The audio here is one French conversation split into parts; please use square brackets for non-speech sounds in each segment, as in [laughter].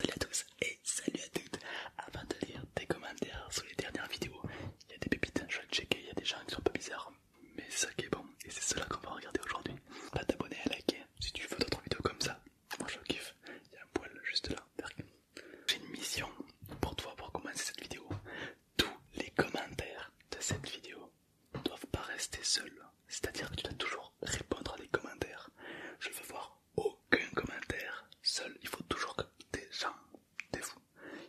Salut à tous et salut à toutes Avant de lire tes commentaires sur les dernières vidéos, il y a des pépites, je vais checker, il y a des gens qui sont un peu bizarres, mais c'est ça qui est bon, et c'est cela qu'on va regarder aujourd'hui. Pas t'abonner à liker si tu veux d'autres vidéos comme ça, moi je kiffe, il y a un poil juste là. J'ai une mission pour toi pour commencer cette vidéo. Tous les commentaires de cette vidéo ne doivent pas rester seuls, c'est-à-dire que tu dois toujours répondre à des commentaires. Je veux voir aucun commentaire seul. Il faut toujours que des gens, des fous,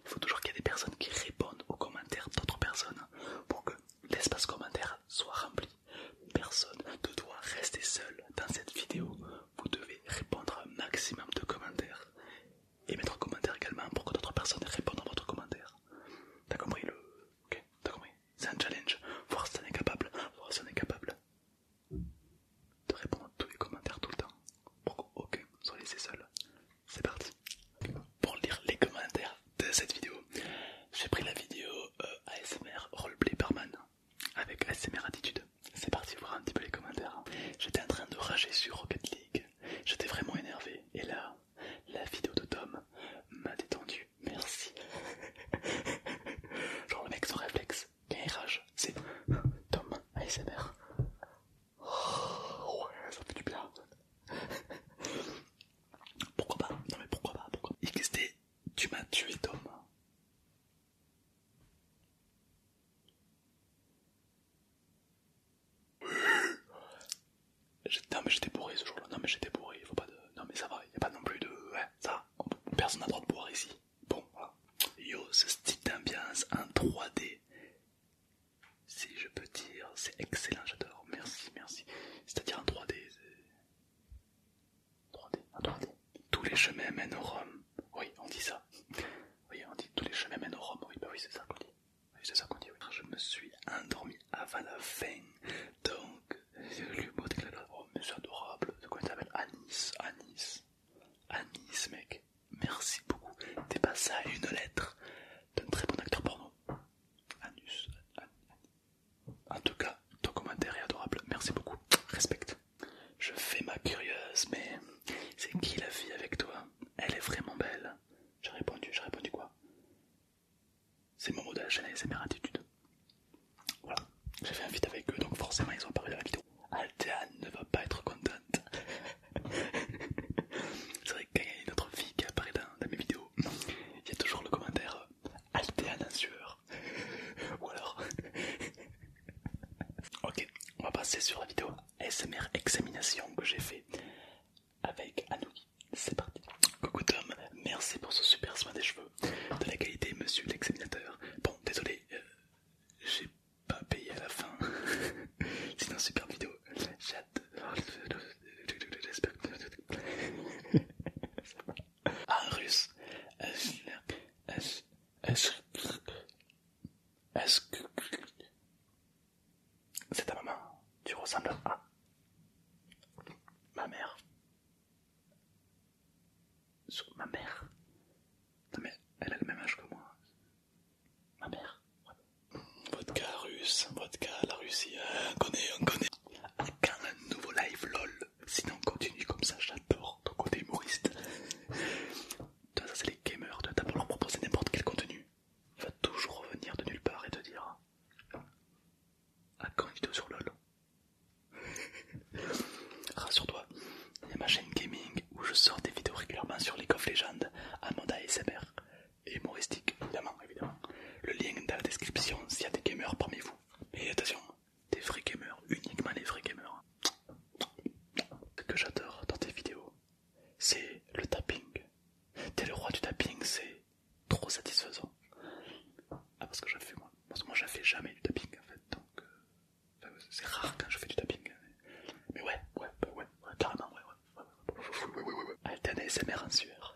il faut toujours qu'il y ait des personnes qui répondent aux commentaires d'autres personnes pour que l'espace commentaire soit rempli. Personne ne doit rester seul dans cette vidéo. Vous devez répondre à un maximum de commentaires et mettre un commentaire également pour que d'autres personnes répondent à votre commentaire. T'as compris le. Ok, t'as compris. C'est un challenge. Voir si t'en es capable. Voir si on est capable de répondre à tous les commentaires tout le temps pour qu'aucun soit laissé seul. C'est parti Pour lire les commentaires de cette vidéo, j'ai pris la vidéo euh, ASMR Roleplay Barman avec ASMR Attitude. C'est parti voir un petit peu les commentaires. J'étais en train de rager sur Rocket League, j'étais vraiment énervé et là, la vidéo de Tom m'a détendu merci. Genre le mec sans réflexe, il rage, c'est Tom ASMR. Oh, ouais, ça fait du bien. pourquoi pas Non mais pourquoi pas pourquoi... XD, tu m'as tué Tom. Non mais j'étais bourré ce jour-là, non mais j'étais bourré, il faut pas de... Non mais ça va, y a pas non plus de... Ouais, ça personne n'a droit de boire ici. Bon, voilà. Yo, ce style d'ambiance en 3D, si je peux dire, c'est excellent, j'adore. Merci, merci. C'est-à-dire en 3D, 3D, en 3D. Tous les chemins mènent au rhum Oui, on dit ça. Oui, on dit tous les chemins mènent au Rome. Oui, bah oui, c'est ça qu'on dit. c'est ça qu'on dit. Je me suis endormi avant la fin, donc Oh, mais adorable. de quoi, il s'appelle Anis. Anis. Anis, mec. Merci beaucoup. T'es passé à une lettre d'un très bon acteur porno. Anus. Anis, En tout cas, ton commentaire est adorable. Merci beaucoup. Respecte. Je fais ma curieuse, mais c'est qui la fille avec toi Elle est vraiment belle. J'ai répondu, j'ai répondu quoi c'est mon mot de la chaîne ASMR Attitude. Voilà, j'ai fait un vide avec eux donc forcément ils ont parlé dans la vidéo. Altea ne va pas être contente. [laughs] C'est vrai que y a une autre fille qui apparaît dans, mes vidéos, il y a toujours le commentaire euh, Altea en sueur. [laughs] Ou alors. [laughs] ok, on va passer sur la vidéo ASMR examination que j'ai fait avec Anouki. C'est parti. Coucou Tom, merci pour ce super soin des cheveux. Euh, de la qualité, monsieur l'examinateur. Bon, désolé, euh, j'ai pas payé à la fin. [laughs] C'est une super vidéo. J'ai hâte J'espère que. Ah, un russe. Est-ce que. C'est ta maman. Tu ressembles à. Ma mère ma mère. Non mère. elle a le même âge que moi. Ma mère. Vodka russe, vodka la Russie, hein, on connaît, on connaît. Ah, quand un nouveau live lol, sinon continue comme ça, j'adore ton côté humoriste. Toi ça c'est les gamers, toi t'as pour leur proposer n'importe quel contenu. va toujours revenir de nulle part et te dire hein à ah, quand une vidéo sur LOL [laughs] Rassure-toi, il y a ma chaîne gaming où je sors des vidéos régulièrement sur les of Legends, Amanda et SMR, et humoristique, évidemment, évidemment. Le lien est dans la description s'il y a des gamers parmi vous. Mais attention, des vrais gamers, uniquement les vrais gamers. Ce que j'adore dans tes vidéos, c'est le tapping. T'es le roi du tapping, c'est trop satisfaisant. Ah, parce que je fais moi. Parce que moi, je fais jamais du tapping en fait. Donc, c'est rare quand je fais du tapping. Mais, ouais, ouais, ouais, ouais, carrément, ouais, ouais, ouais, ouais, en sueur.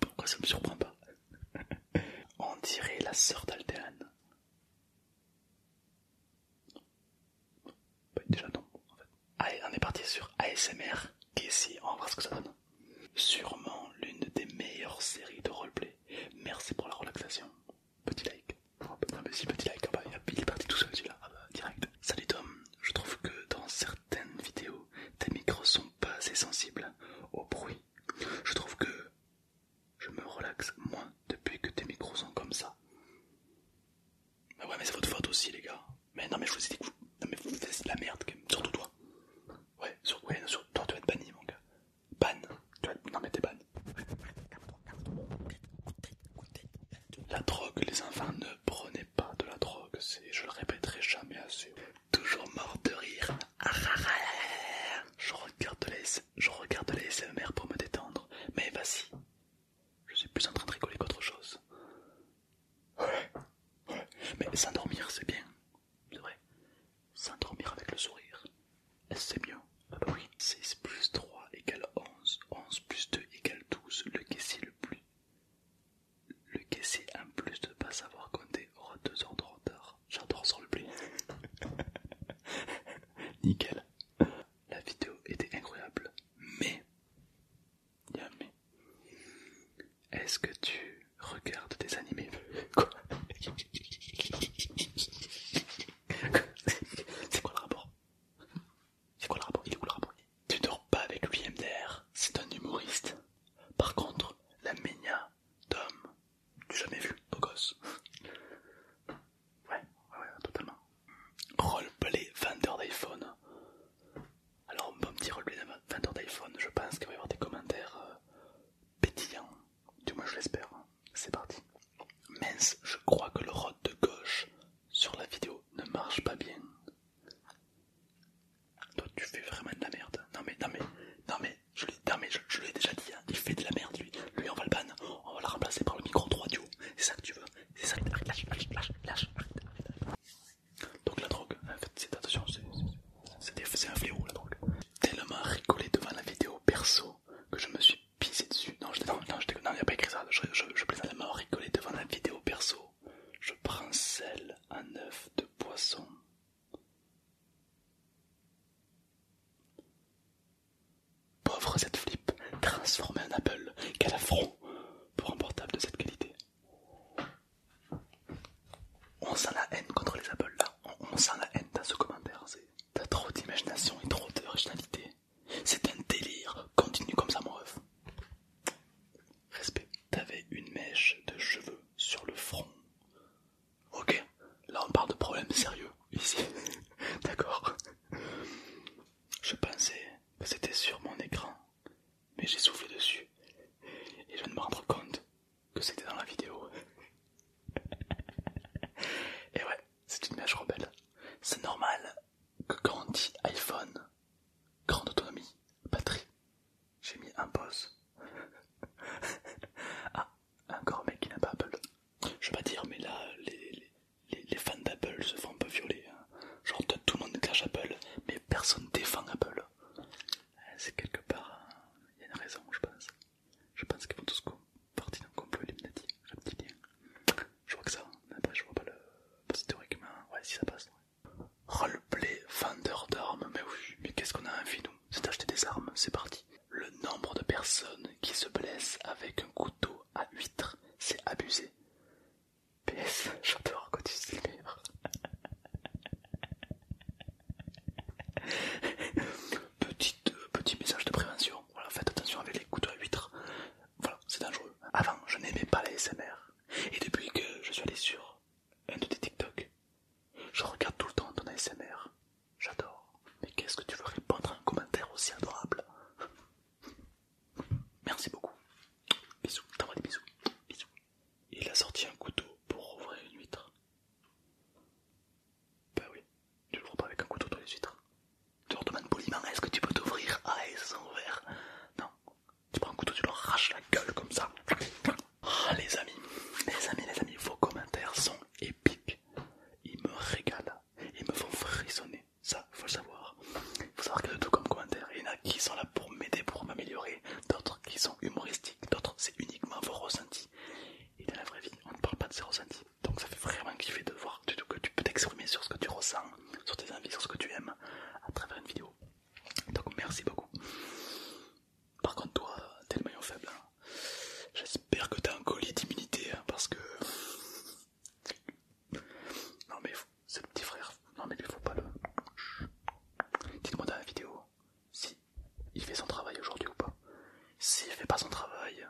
Pourquoi ça me surprend pas On dirait la sœur d'Alteane. déjà non, en Allez, on est parti sur ASMR. Casey, on va voir ce que ça donne. Sûrement l'une des meilleures séries de roleplay. Merci pour la relaxation. Petit like. petit like, il est parti tout seul là ah bah, direct. Salut Tom, je trouve que dans certaines vidéos, tes micros sont pas assez sensibles au bruit. Je trouve que je me relaxe moins depuis que tes micros sont comme ça. Bah ouais mais c'est votre faute aussi les gars. Mais non, mais je vous ai dit que vous. Non, faites la merde, surtout toi. Ouais, sur... toi tu vas être banni, mon gars. Ban. Tu vas... Non, mais t'es ban. La drogue, les enfants, ne prenez pas de la drogue, je le répéterai jamais assez. Toujours mort de rire. Ah, ah, ah, je regarde les, je regarde SMR pour me détendre, mais vas-y. Je suis plus en train de rigoler qu'autre chose. Mais s'endormir, c'est bien, c'est vrai. S'endormir avec le sourire, c'est mieux. 6 ah bah plus 3 égale 11, 11 plus 2 égale 12. le caissier le plus le caissier en plus de pas savoir compter aura 2 heures de retard. J'adore sur le plus. [laughs] Nickel. La vidéo était incroyable, mais Yamé, Est-ce que tu regardes des animés [laughs] Quoi C'est quoi le rapport C'est quoi le rapport Il est rapport Tu dors pas avec lui MDR, c'est un humoriste. Par contre, la ménia d'homme, tu jamais vu, au gosse. Ouais, ouais, ouais, totalement. Roleplay vendeur d'iPhone. Alors, bon petit 20 vendeur d'iPhone, je pense qu'il va y avoir des commentaires euh, pétillants. Du moins, je l'espère. C'est parti. Mince, je crois que le rod de gauche sur la vidéo ne marche pas bien. Toi, tu fais vraiment de la merde. Non, mais, non, mais, non, mais, je l'ai je, déjà dit, hein. il fait de la merde lui. Lui, on va le ban, on va le remplacer par le micro 3 radio, C'est ça que tu veux. C'est ça. Donc la drogue, en c'est attention, c'est un fléau la drogue. Tellement rigolé devant la vidéo perso que je me suis pissé dessus. Non, il n'y a pas écrit ça. Je, je, tellement rigolé devant la vidéo perso. Je prends sel à neuf de poisson. Pauvre cette flip, transformée en Apple, quel affront pour un portable de cette qualité. On sent la haine contre les Apple là. On, sent la haine dans ce commentaire. T'as trop d'imagination et trop d'originalité. C'est un délire. Continue comme ça, mon ref. Respect. T'avais une mèche de cheveux sur le front. Ok. Là, on parle de problèmes sérieux. Ici. [laughs] D'accord. Je pensais que c'était sur mon écran mais j'ai soufflé dessus et je viens me rendre compte que c'était dans la vidéo. [laughs] et ouais, c'est une mèche rebelle. C'est normal que quand on dit iPhone, grande autonomie, batterie, j'ai mis un pause. [laughs] ah, encore un mec qui n'a pas Apple. Je vais pas dire, mais là, les, les, fans d'Apple se font un peu violer. Hein. Genre tout le monde cache Apple, mais personne défend Apple. Euh, c'est quelque part, il hein. y a une raison, je pense. Je pense qu'ils font tous partie d'un complot Illuminati, j'ai un petit Je vois que ça, mais hein. après je vois pas le... théoriquement, ouais si ça passe. Ouais. Roleplay vendeur d'armes, mais oui, mais qu'est-ce qu'on a envie nous C'est d'acheter des armes, c'est parti. Le nombre de personnes qui se blessent avec un couteau à huître, c'est abusé. PS, j'adore quand tu euh, petit message de prévention, voilà, faites attention avec les couteaux à huître, voilà, c'est dangereux. Avant, je n'aimais pas la SMR, et depuis que je suis allé sur un de tes TikTok, je regarde tout le temps ton ASMR, j'adore. Mais qu'est-ce que tu veux répondre à un commentaire aussi adorable Merci beaucoup. Bisous, T'envoies des bisous. Il a sorti un couteau pour ouvrir une huître. Bah ben oui, tu l'ouvres pas avec un couteau dans les huîtres. Tu leur demandes poliment est-ce que tu peux t'ouvrir Ah, ils sont ouverts. Non, tu prends un couteau, tu leur raches la gueule comme ça. Ah, les amis, les amis, les amis, vos commentaires sont épiques. Ils me régalent, ils me font frissonner ça, faut le savoir. Faut savoir que de tout comme commentaire. Il y en a qui sont là pour m'aider, pour m'améliorer, d'autres qui sont humoristiques, d'autres c'est uniquement vos ressentis. Et dans la vraie vie, on ne parle pas de ses ressentis. Donc ça fait vraiment kiffer de voir tout que tu peux t'exprimer sur ce que tu ressens, sur tes envies, sur ce que tu aimes, à travers une vidéo. Donc merci beaucoup. Par contre toi, t'es le maillon faible. Hein. J'espère que t'as un collier d'immunité, hein, parce que non mais c'est le petit frère. Non mais lui faut pas le. Dites-moi dans la vidéo si il fait son travail aujourd'hui ou pas. S'il fait pas son travail,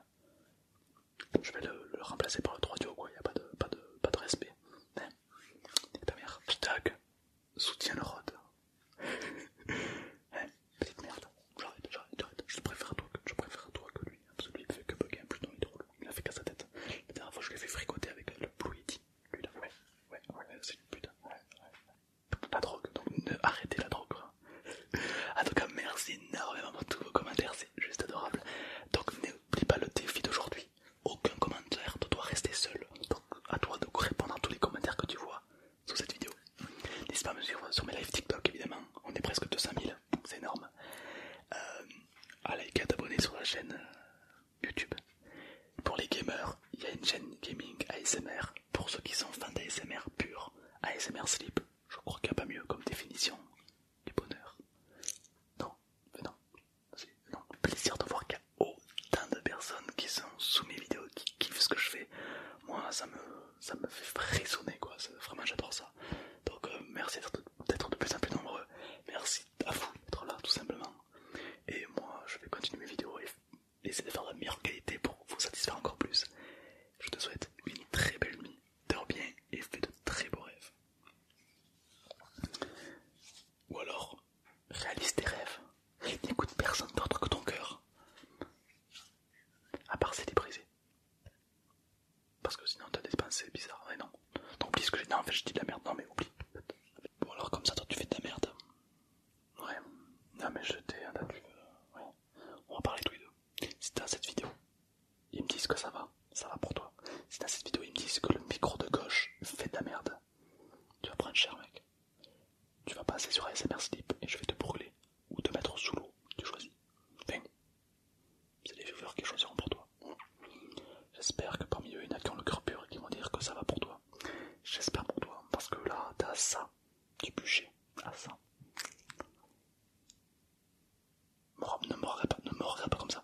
je vais le, remplacer par le 3 duo quoi, il n'y a pas de, pas de, pas de respect. Hein? ta mère. Hashtag soutien le rod. [laughs] Hein? Petite merde. J'arrête, j'arrête, Je préfère toi je préfère toi que lui il ne fait que bugger, il est drôle, il ne fait qu'à sa tête. La dernière fois je l'ai fait fricoter avec euh, le Blue Yeti, lui là, ouais, ouais, ouais, c'est une putain La drogue, donc ne arrêtez la drogue. Hein. [laughs] en tout cas merci énormément pour tous vos commentaires, c'est juste adorable. Donc n'oublie pas le défi d'aujourd'hui, aucun commentaire ne doit rester seul, donc à toi de répondre à tous les commentaires que tu vois sous cette vidéo. N'hésite pas à me suivre sur mes lives TikTok évidemment, on est presque 200 000 c'est énorme. à euh, ah, liker, t'abonner sur la chaîne euh, YouTube. Pour les gamers, il y a une chaîne gaming ASMR. Pour ceux qui sont fans d'ASMR pur, ASMR Sleep, je crois qu'il n'y a pas mieux comme définition du bonheur. Non, mais non, c'est plaisir de voir qu'il y a autant de personnes qui sont sous mes vidéos, qui kiffent ce que je fais. Moi, ça me, ça me fait frissonner, quoi. Vraiment, j'adore ça. Donc, euh, merci à toutes. Peut-être de plus en plus nombreux. Merci à vous d'être là tout simplement. Et moi je vais continuer mes vidéos et essayer de faire la meilleure qualité pour vous satisfaire encore plus. Je te souhaite une très belle nuit, dors bien et fais de très beaux rêves. Ou alors, réalise tes rêves n'écoute personne d'autre que ton cœur. À part c'est déprisé. Parce que sinon t'as des pensées bizarres, mais non. tant oublie ce que j'ai dit, en fait j'ai dit de la merde, non mais oublie. Bon alors comme ça toi tu fais de la merde. Ouais, non mais je t'ai, hein, Ouais. On va parler tous les deux. Si dans cette vidéo, ils me disent que ça va, ça va pour toi. Si dans cette vidéo, ils me disent que le micro de gauche fait de la merde. Tu vas prendre cher mec. Tu vas passer sur ASMR Sleep et je vais te brûler ou te mettre sous l'eau, tu choisis. C'est les viewers qui choisiront pour toi. J'espère que parmi eux, il y en a qui ont le cœur pur et qui vont dire que ça va pour toi. J'espère pour toi, parce que là, t'as ça du bûcher, ah, ça. Ne me regarde pas, ne pas comme ça.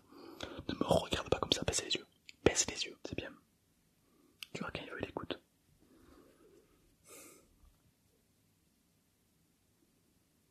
Ne me regarde pas comme ça, baisse les yeux. Baisse les yeux, c'est bien. Tu vois, quand il veut, il